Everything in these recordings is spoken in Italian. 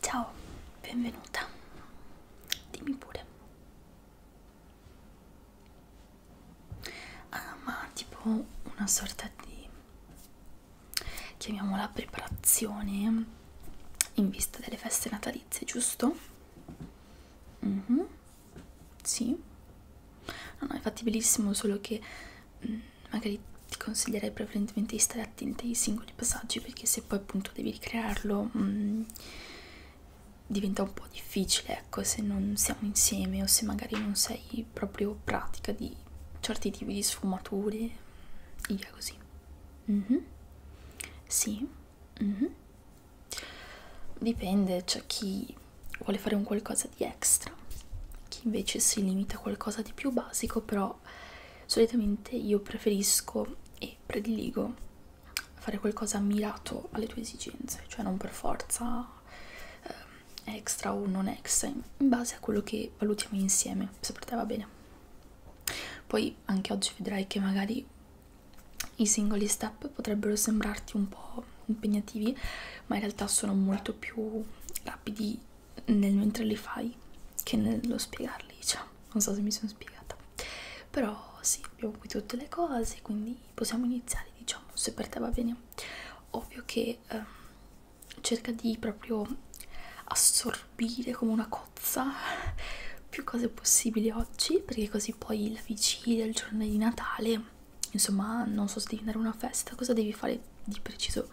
Ciao, benvenuta. Dimmi pure. Ah, ma tipo una sorta di chiamiamola preparazione in vista delle feste natalizie, giusto? Mm -hmm. Sì, no, no, è fattibilissimo, solo che mh, mm, magari ti consiglierei prevalentemente di stare attenti ai singoli passaggi perché se poi appunto devi ricrearlo mh, mm, diventa un po' difficile, ecco, se non siamo insieme o se magari non sei proprio pratica di certi tipi di sfumature, via così. Mm -hmm. Sì. Mm -hmm. Dipende, c'è chi vuole fare un qualcosa di extra, chi invece si limita a qualcosa di più basico, però solitamente io preferisco e prediligo fare qualcosa mirato alle tue esigenze, cioè non per forza eh, extra o non extra, in base a quello che valutiamo insieme, se per te va bene. Poi anche oggi vedrai che magari i singoli step potrebbero sembrarti un po' impegnativi, ma in realtà sono molto più rapidi nel mentre li fai che nello spiegarli, diciamo. Non so se mi sono spiegata. Però sì, abbiamo qui tutte le cose, quindi possiamo iniziare, diciamo, se per te va bene. Ovvio che eh, cerca di proprio assorbire come una cozza più cose possibili oggi, perché così poi la vigilia, il giorno di Natale insomma non so se devi andare a una festa cosa devi fare di preciso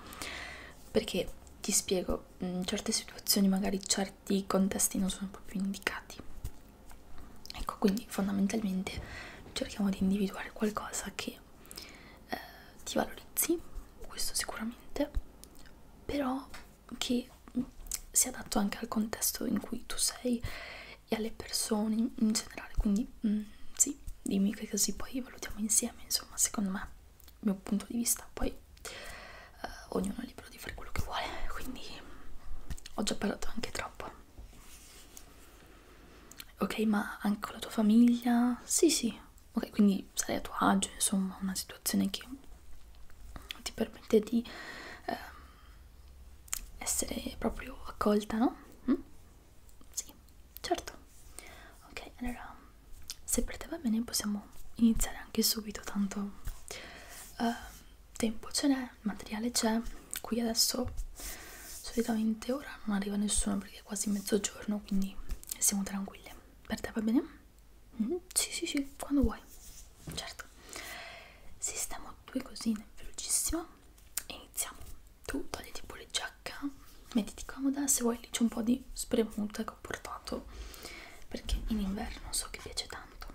perché ti spiego in mm, certe situazioni magari certi contesti non sono proprio indicati ecco quindi fondamentalmente cerchiamo di individuare qualcosa che eh, ti valorizzi questo sicuramente però che sia adatto anche al contesto in cui tu sei e alle persone in generale quindi mm, sì dimmi che così poi valutiamo insieme insomma secondo me il mio punto di vista poi eh, ognuno è libero di fare quello che vuole quindi mm, ho già parlato anche troppo ok ma anche con la tua famiglia sì sì ok quindi sarai a tuo agio insomma una situazione che ti permette di eh, essere proprio accolta, no? Mm? Sì, certo. Ok, allora, se per te va bene possiamo iniziare anche subito, tanto uh, tempo ce n'è, materiale c'è, qui adesso solitamente ora non arriva nessuno perché è quasi mezzogiorno, quindi siamo tranquille. Per te va bene? Mm? Sì, sì, sì, quando vuoi. Certo. Sistemo due cosine velocissimo iniziamo tu togliti pure giacca mettiti comoda se vuoi lì c'è un po' di spremuta che ho portato perché in inverno so che piace tanto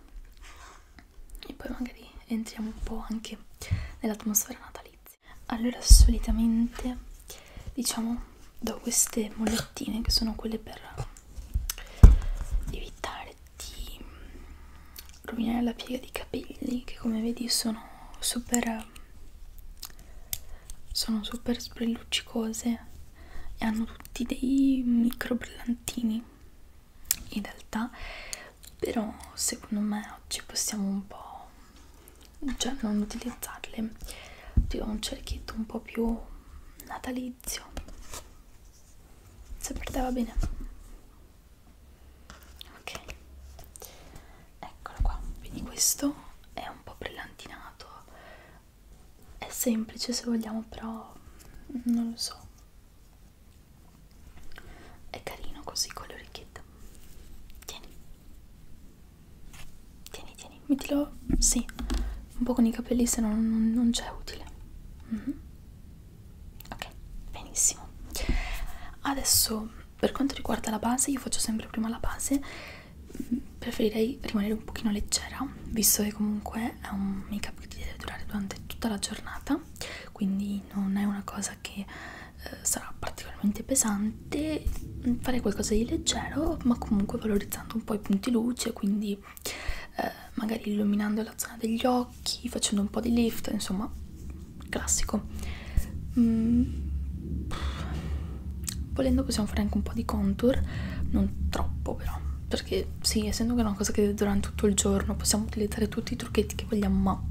e poi magari entriamo un po' anche nell'atmosfera natalizia allora solitamente diciamo do queste mollettine che sono quelle per evitare di mm, rovinare la piega dei capelli che come vedi sono super mm, sono super lucicose e hanno tutti dei micro brillantini in realtà però secondo me oggi possiamo un po' cioè non utilizzarle Dico un cerchietto un po' più natalizio se per te va bene ok eccolo qua quindi questo è un po' brillantinato è semplice se vogliamo però mm, non lo so è carino così con le orecchiette tieni tieni tieni mettilo sì un po' con i capelli se no non, non c'è utile mm -hmm ok benissimo adesso per quanto riguarda la base io faccio sempre prima la base mm, preferirei rimanere un pochino leggera visto che comunque è un make up che ti deve durare durante tutta la giornata quindi non è una cosa che eh, sarà particolarmente pesante fare qualcosa di leggero ma comunque valorizzando un po' i punti luce quindi eh, magari illuminando la zona degli occhi, facendo un po' di lift, insomma, classico. Mm. Volendo possiamo fare anche un po' di contour, non troppo però, perché sì, essendo che è una cosa che durante tutto il giorno possiamo utilizzare tutti i trucchetti che vogliamo, ma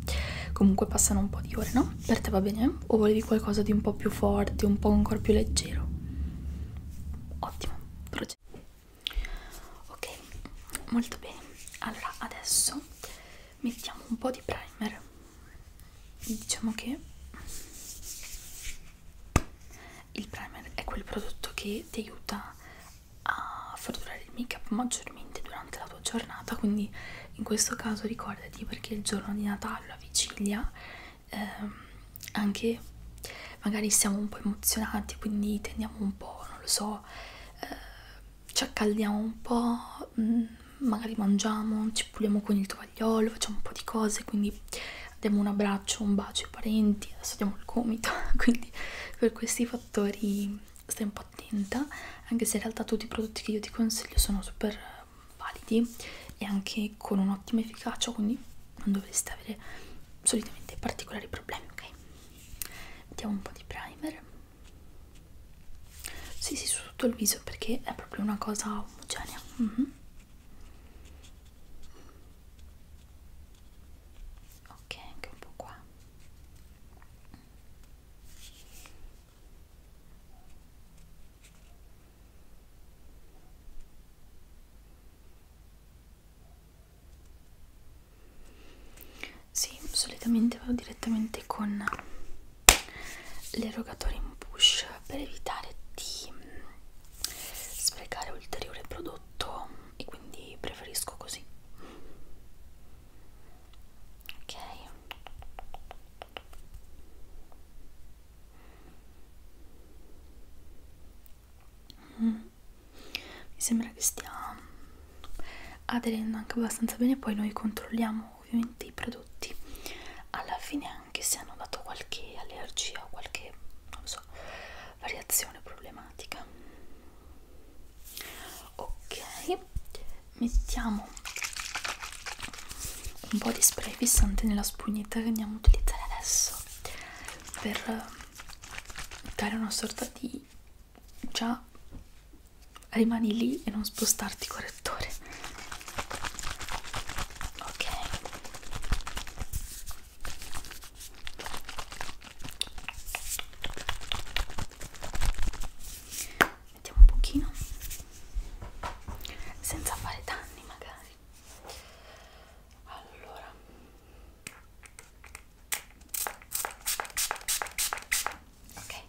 comunque passano un po' di ore, no? Per te va bene? O volevi qualcosa di un po' più forte, un po' ancora più leggero? Ottimo, progetto ok molto bene allora adesso mettiamo un po' di primer diciamo che il primer è quel prodotto che ti aiuta a far durare il make up maggiormente durante la tua giornata quindi in questo caso ricordati perché il giorno di Natale la vigilia ehm, anche magari siamo un po' emozionati quindi tendiamo un po' non lo so eh, ci accaldiamo un po', mm, magari mangiamo, ci puliamo con il tovagliolo, facciamo un po' di cose, quindi diamo un abbraccio, un bacio ai parenti, adesso diamo il gomito, quindi per questi fattori stai un po' attenta, anche se in realtà tutti i prodotti che io ti consiglio sono super validi e anche con un'ottima efficacia, quindi non dovresti avere solitamente particolari problemi, ok? mettiamo un po' di primer sì sì su tutto il viso perché è proprio una cosa omogenea mm -hmm. ok anche un po' qua sì, solitamente vado direttamente con l'erogatore in push per evitare di mm, sprecare ulteriore prodotto e quindi preferisco così. Ok. Mm mi sembra che stia aderendo anche abbastanza bene poi noi controlliamo ovviamente i prodotti alla fine anche se hanno dato qualche allergia o qualche non so variazione problematica ok mettiamo un po' di spray fissante nella spugnetta che andiamo a utilizzare adesso per dare una sorta di già rimani lì e non spostarti correttore ok mettiamo un pochino senza fare danni magari allora ok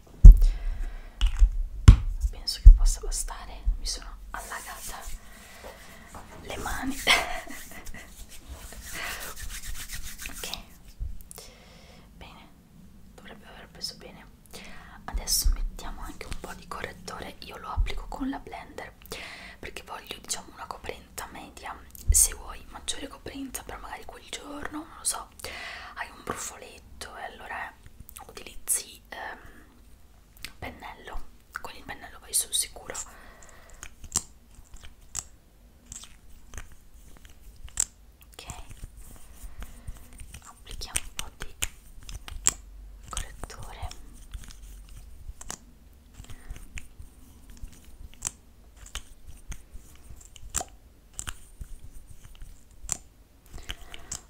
penso che possa bastare mi sono allagata le mani ok bene dovrebbe aver preso bene adesso mettiamo anche un po' di correttore io lo applico con la blender perché voglio diciamo una copertina coperta media se vuoi maggiore coperta però magari quel giorno non lo so hai un brufoletto e allora utilizzi ehm, pennello con il pennello vai sul sicuro ok applichiamo un po' di correttore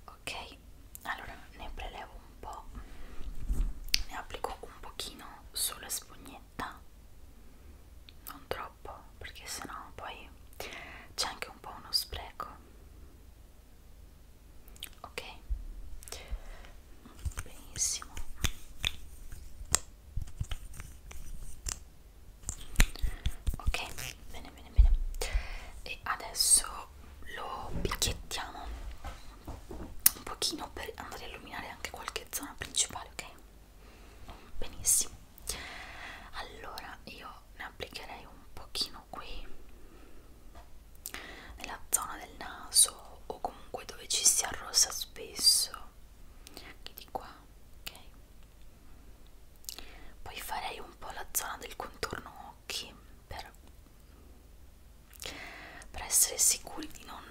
ok allora ne prelevo un po ne applico un pochino sulla spugnetta non troppo perché sennò poi c'è anche un po' uno spreco ok benissimo ok bene bene bene e adesso lo picchiettiamo un pochino per andare a illuminare anche qualche zona principale ok benissimo allora io ne applicherei un pochino qui nella zona del naso o comunque dove ci si arrossa spesso quindi di qua ok poi farei un po' la zona del contorno occhi per, per essere sicuri di non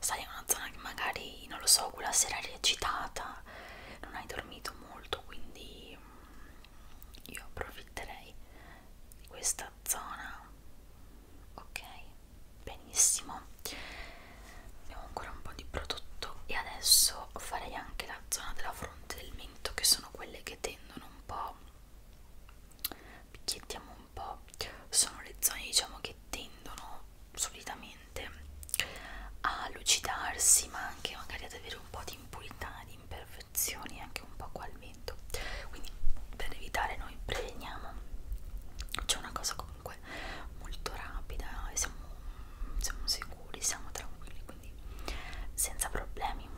sai una zona che magari non lo so quella sera eri agitata non hai dormito molto quindi io approfitterei di questa zona ok benissimo abbiamo ancora un po' di prodotto e adesso farei anche la zona della fronte del mento che sono quelle che tendono un po' picchiettiamo un po' sono le zone diciamo che tendono solitamente a lucidarsi ma anche magari ad avere un po' di impurità di imperfezioni anche un po' qua al mento quindi per evitare noi preveniamo c'è una cosa comunque molto rapida e siamo, siamo sicuri, siamo tranquilli quindi senza problemi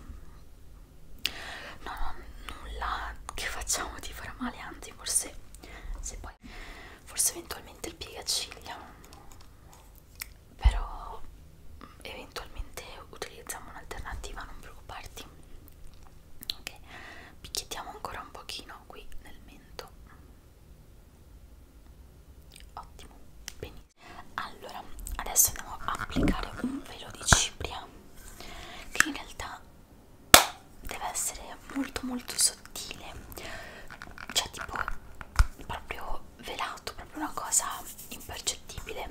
non ho nulla che facciamo ti farà male anzi forse se poi forse eventualmente il piegaciglia però eventualmente utilizziamo un'alternativa non preoccuparti ok picchiettiamo ancora un pochino qui nel mento ottimo benissimo allora adesso andiamo a applicare un velo di cipria che in realtà deve essere molto molto sottile cioè tipo proprio velato proprio una cosa impercettibile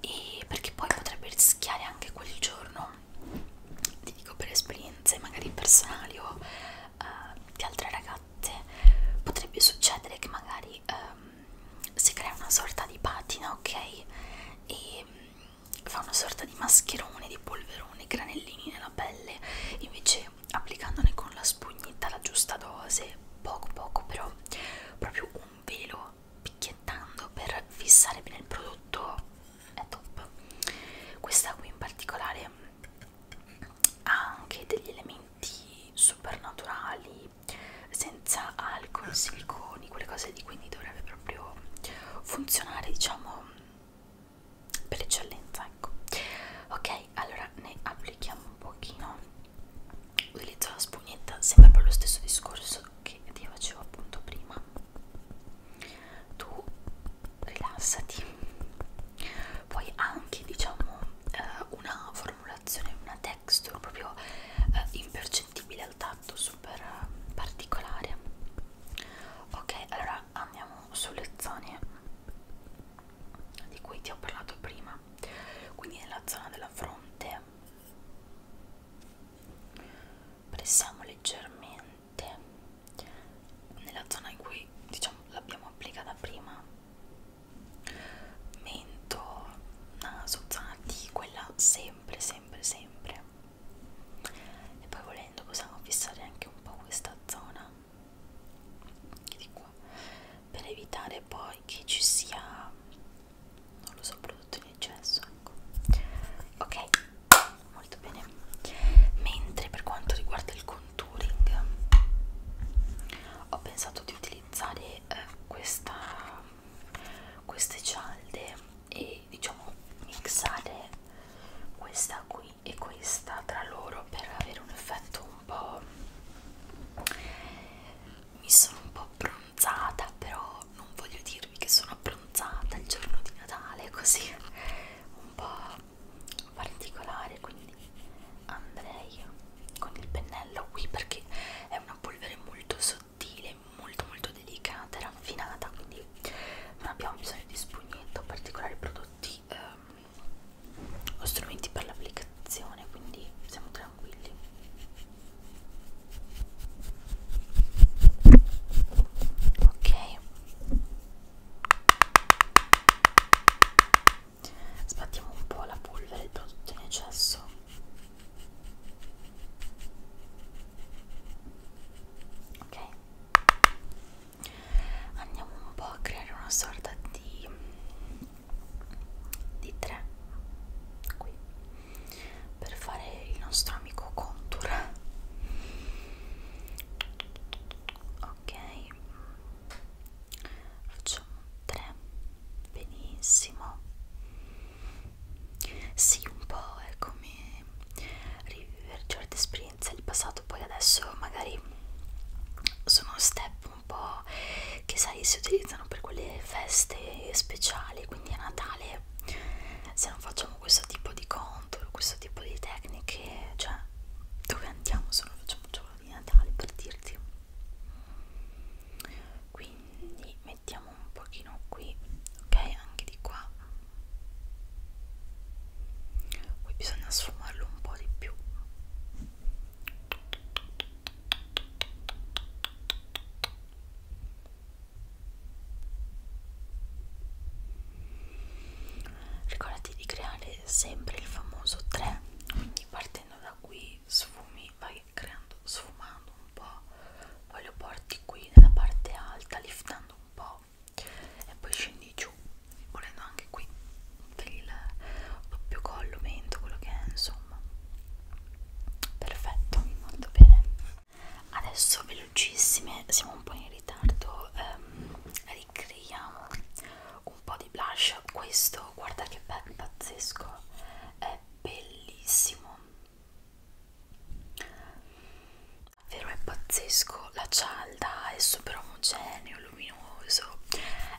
e perché poi potrebbe rischiare anche quel giorno ti dico per esperienze magari personali o uh, di altre ragazze potrebbe succedere che magari um, si crea una sorta di patina ok e um, fa una sorta di mascherone di polverone granellini nella pelle invece applicandone con la spugnetta la giusta dose poco poco però proprio un velo picchiettando per fissare bene il prodotto è top questa qui in particolare ha anche degli elementi supernaturali senza alcol, ah. siliconi, quelle cose lì quindi dovrebbe proprio funzionare diciamo per eccellenza ecco ok allora ne applichiamo un pochino utilizzo la spugnetta sempre per lo stesso discorso che ti facevo appunto prima tu rilassati poi anche diciamo eh, una formulazione una texture proprio eh, impercettibile al tatto super eh, particolare ok allora andiamo sulle zone di cui ti ho parlato prima quindi nella zona della fronte pressiamo leggermente nella zona in cui diciamo l'abbiamo applicata prima mento naso zona T quella sempre sempre sempre e poi volendo possiamo fissare anche un po' questa zona di qua per evitare poi che ci sia non lo so prodotto di gesso ecco. ok molto bene mentre per quanto riguarda il contouring ho pensato di utilizzare eh, questa queste cialde e diciamo mixare questa qui e questa tra loro per avere un effetto un po' mi sono un po' bronzata però non voglio dirvi che sono bronzata bronzata il giorno di Natale così un po' particolare quindi andrei con il pennello qui perché è una polvere molto sottile molto molto delicata e raffinata quindi non abbiamo bisogno di spugnetto particolari prodotti ehm, o strumenti per l'applicazione quindi siamo tranquilli ok sbattiamo un po' la polvere il prodotto in eccesso ok andiamo un po' a creare una sorta di di tre qui per fare il nostro amico contour ok facciamo 3 benissimo sì un po' è come rivivere certe esperienze del passato poi adesso magari sono step un po' che sai si utilizzano per quelle feste speciali quindi a Natale se non faccio facciamo questo tipo di contour, questo tipo di tecniche, cioè dove andiamo se non facciamo un giorno di Natale per dirti quindi mettiamo un pochino qui ok anche di qua qui bisogna sfumarlo un po' di più Ricordati di creare sempre il famoso 3, quindi partendo da qui sfumi, vai creando, sfumando un po', poi lo porti qui nella parte alta, liftando un po' e poi scendi giù, volendo anche qui per il doppio collo, mento, quello che è, insomma perfetto, molto bene adesso velocissime siamo un po' in ritardo ehm, ricreiamo un po' di blush questo guarda che bel pazzesco è bellissimo davvero è pazzesco la cialda è super omogeneo luminoso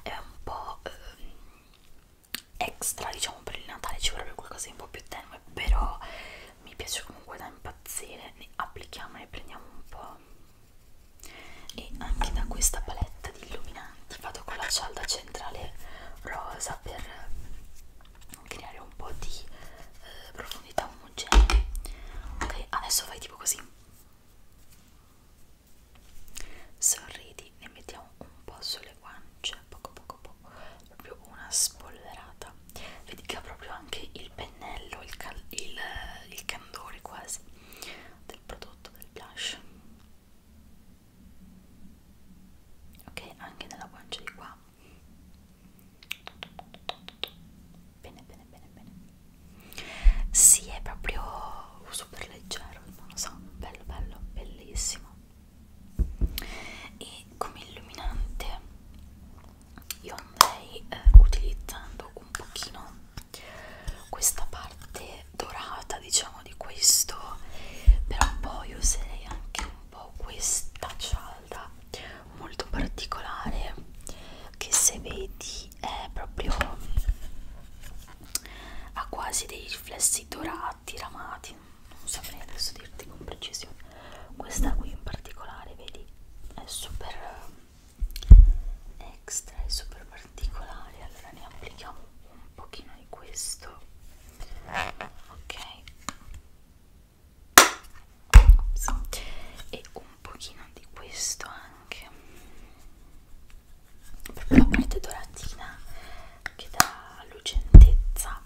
è un po' ehm, extra diciamo per il Natale ci vorrebbe qualcosa di un po' più tenue però mi piace comunque da impazzire ne applichiamo e ne prendiamo un po' e anche da questa paletta di illuminanti vado con la cialda centrale rosa per creare un po' di eh, profondità omogenea ok adesso fai tipo così sorridi ne mettiamo un po' sulle guance poco poco poco dato proprio una spolverata vedi che ha proprio anche il pennello il, cal il, il candore quasi del prodotto del blush ok anche nella guancia di qua bene bene bene bene si sì, è proprio super leggero il so bello bello bellissimo e come illuminante io andrei eh, utilizzando un pochino questa parte dorata diciamo di questo però poi userei anche un po' questa cialda molto particolare che se vedi è proprio ha quasi dei riflessi dorati ramati sì, non saprei adesso dirti con precisione questa qui in particolare vedi è super eh, extra è super particolare allora ne applichiamo un pochino di questo ok Ops. e un pochino di questo anche proprio la parte doratina che dà lucentezza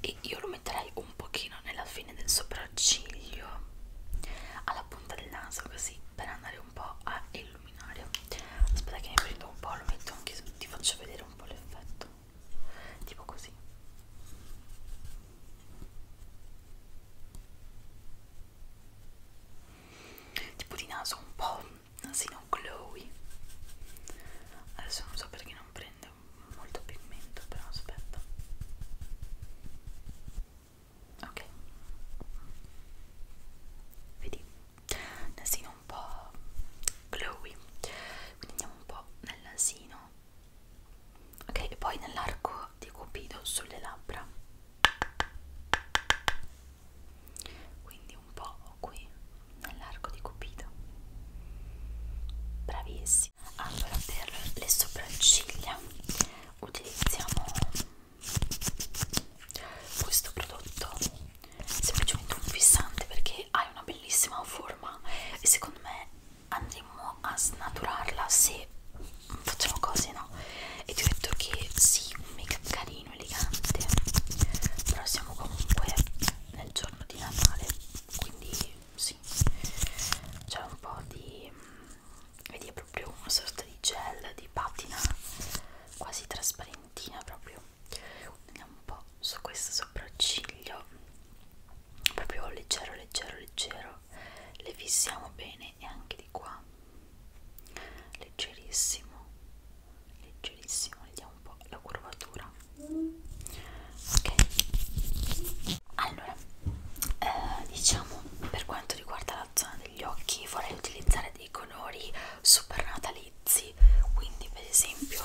e io lo metterei un un pochino nella fine del sopracciglio alla punta del naso così per andare un po' a illuminare aspetta che ne prendo un po' lo metto anche ti faccio vedere un po' l'effetto tipo così tipo di naso un po' nasino glowy adesso non so perché non prende prende molto pigmento però aspetta ok vedi nasino un po' glowy quindi andiamo un po' nel nasino ok e poi nell'arco di cupido sulle labbra quindi un po' qui nell'arco di Cupido. Bravissimi. Allora, per le sopracciglia utilizziamo questo prodotto, semplicemente un fissante perché ha una bellissima forma e secondo me andremo a snaturarla se facciamo cose, no? E ti ho detto che sì, un make up carino, elegante, però siamo comunque nel giorno di Natale, quindi sì c'è un po' di mm, vedi è proprio una sorta di gel di patina quasi trasparentina proprio vediamo un po' su questo sopracciglio proprio leggero leggero leggero le fissiamo bene e anche di qua leggerissimo leggerissimo vediamo sia un po' la curvatura ok allora eh, diciamo per quanto riguarda la zona degli occhi vorrei utilizzare dei colori super natalizi quindi per esempio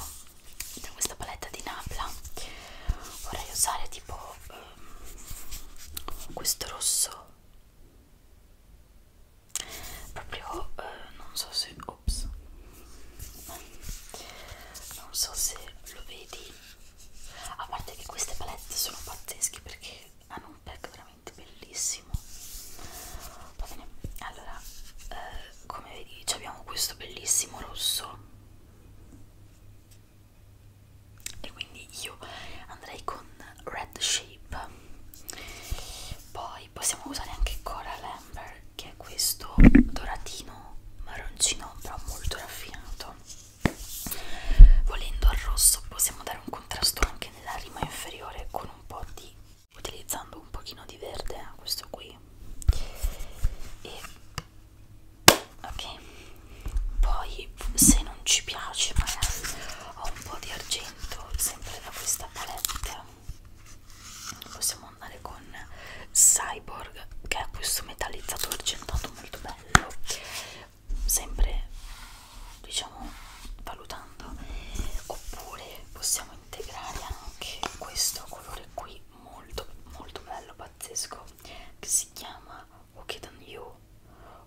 da questa paletta di Napla vorrei usare tipo ehm, questo rosso proprio eh, non so se ops non so se lo vedi a parte che queste palette sono pazzesche perché hanno un pack veramente bellissimo va bene allora eh, come vedi abbiamo questo bellissimo rosso e quindi io andrei con Red Shape poi possiamo usare anche Coral Amber che è questo doratino marroncino però molto raffinato volendo al rosso possiamo dare un contrasto anche nella rima inferiore con un po' di utilizzando un pochino di verde eh, questo qui e ok poi se non ci piace magari ho un po' di argento sempre da questa palette possiamo andare con Cyborg che è questo metallizzato argentato molto bello sempre diciamo valutando oppure possiamo integrare anche questo colore qui molto molto bello pazzesco che si chiama Wicked on You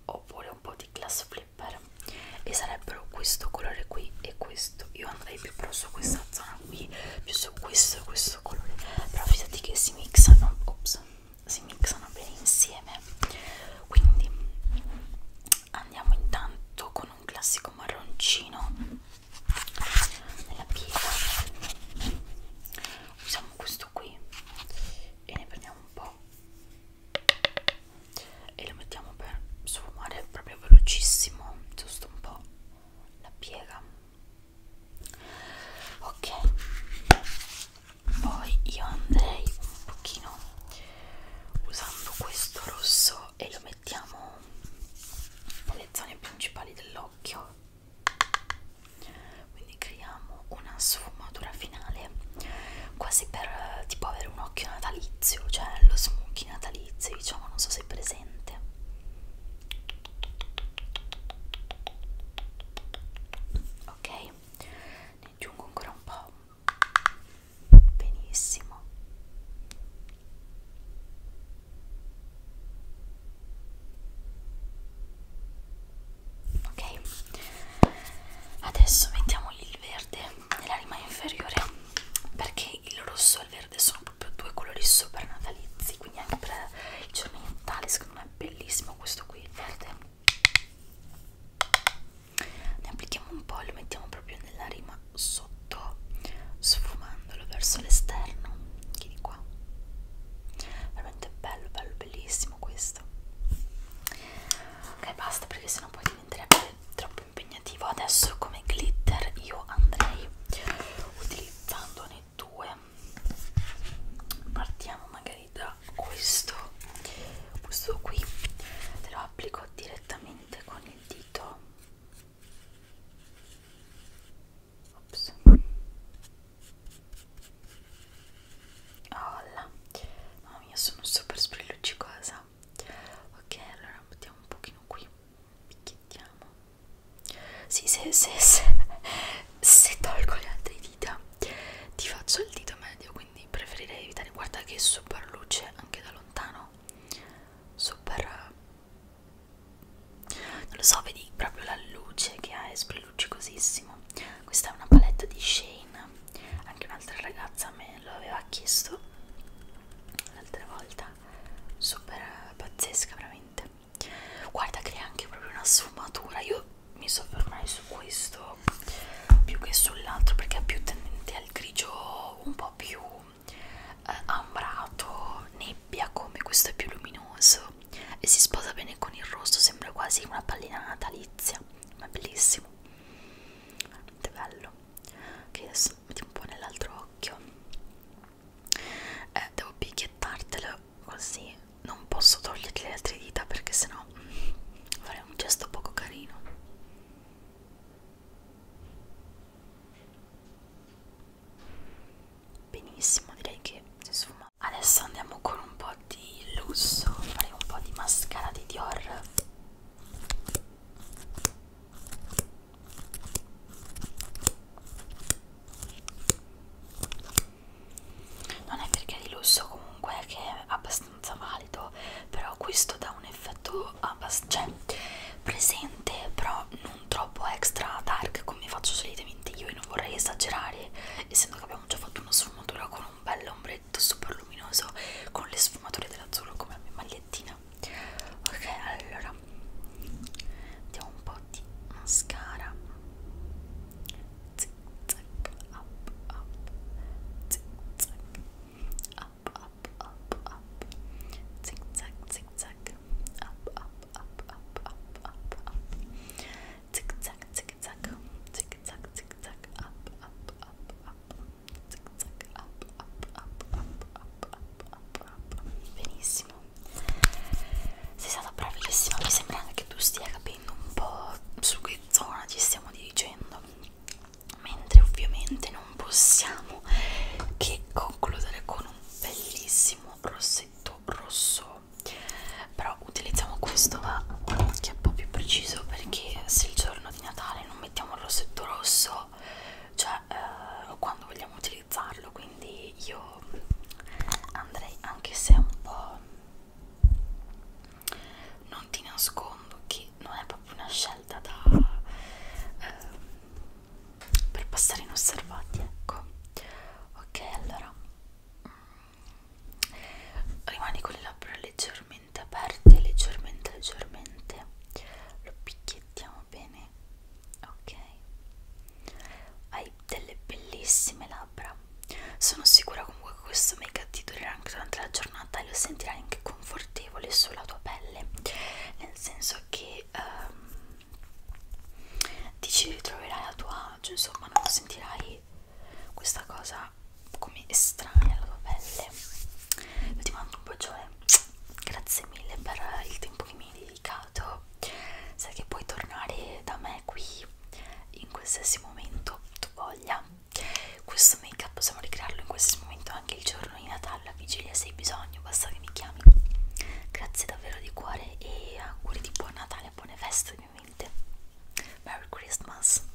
oppure un po' di glass flipper e sarebbero questo colore qui e questo io andrei più però su questa zona qui più su questo e questo stesso colore però fidati che si mixano ops, si mixano bene insieme quindi andiamo intanto con un classico marroncino nella piega usiamo questo qui e ne prendiamo un po' e lo mettiamo per sfumare proprio velocissimo giusto un po' la piega ok poi io andrei un pochino usando questo rosso e lo mettiamo nelle zone principali dell'occhio quindi creiamo una sfumatura finale quasi per eh, tipo avere un occhio natalizio cioè lo smokey natalizio diciamo non so se è presente ok ne aggiungo ancora un po' benissimo ok adesso mettiamo il verde nella rima inferiore perché il rosso e il verde sono proprio due colori super natalizi quindi anche per il giorno di Natale secondo me è bellissimo questo qui verde ne applichiamo un po' e lo mettiamo proprio nella rima sotto sfumandolo verso l'esterno anche di qua veramente bello bello bellissimo questo ok basta perché sennò poi diventerebbe troppo impegnativo adesso come glitter io andrei utilizzandone due partiamo magari da questo questo qui te lo applico direttamente con il dito Ops. Olla. mamma mia sono super sprilluccicosa ok allora mettiamo un pochino qui picchiettiamo sì se, se, se, se tolgo le altre dita ti faccio il dito medio quindi preferirei evitare guarda che è super luce anche da lontano super non lo so vedi proprio la luce che ha è sprelucicosissimo questa è una palette di Shane anche un'altra ragazza me lo aveva chiesto l'altra volta super pazzesca veramente guarda che è anche proprio una sfumatura io mi soffermerei su questo più che sull'altro perché è più tendente al grigio un po' più eh, ambrato nebbia come questo è più luminoso e si sposa bene con il rosso sembra quasi una pallina natalizia ma è bellissimo veramente bello che adesso metti un po' nell'altro occhio eh, devo picchiettartelo così non posso toglierti le altre dita perché sennò farei un gesto poco carino benissimo direi che si sfuma adesso andiamo con un po' di lusso faremo un po' di mascara di Dior non è perché è di lusso comunque che è abbastanza valido però questo dà un effetto abbastanza cioè, presente però non troppo extra dark come faccio solitamente io e non vorrei esagerare essendo che abbiamo già fatto una sfumatura con un bel ombretto super luminoso con le sfumature dell'azzurro come la mia magliettina bene ok allora mettiamo un po' di mascara zic zac up up zic zac up up up up zic zac zic zac up up up up up up up zic zac zic zac zic zac zic zac up up up up zic zac up up up up up up, up, up, up. benissimo sei stata bravissima mi sembra anche che tu stia capendo un po' su che zona ci stiamo dirigendo mentre ovviamente non possiamo che concludere con un bellissimo rossetto rosso però utilizziamo questo va che è un po' più preciso perché se il giorno di Natale non mettiamo il rossetto rosso cioè eh, quando vogliamo utilizzarlo quindi io andrei anche se è un po' non ti nascondo che non è proprio una scelta da eh, per passare inosservati ecco ok allora mm. rimani con le labbra leggermente aperte leggermente leggermente lo picchiettiamo bene ok hai delle bellissime labbra sono sicura comunque che questo make up ti durerà anche durante la giornata e lo sentirai anche confortevole sulla tua pelle nel senso che um, ti ci ritroverai a tuo agio cioè, insomma non sentirai questa cosa come estranea alla tua pelle io ti mando un bacione grazie mille per il tempo che mi hai delicato sai che puoi tornare da me qui in qualsiasi momento tu voglia questo make up possiamo ricrearlo in qualsiasi momento anche il giorno di Natale la vigilia se hai bisogno basta che mi chiami grazie davvero di cuore e auguri di buon Natale buone feste ovviamente Merry Christmas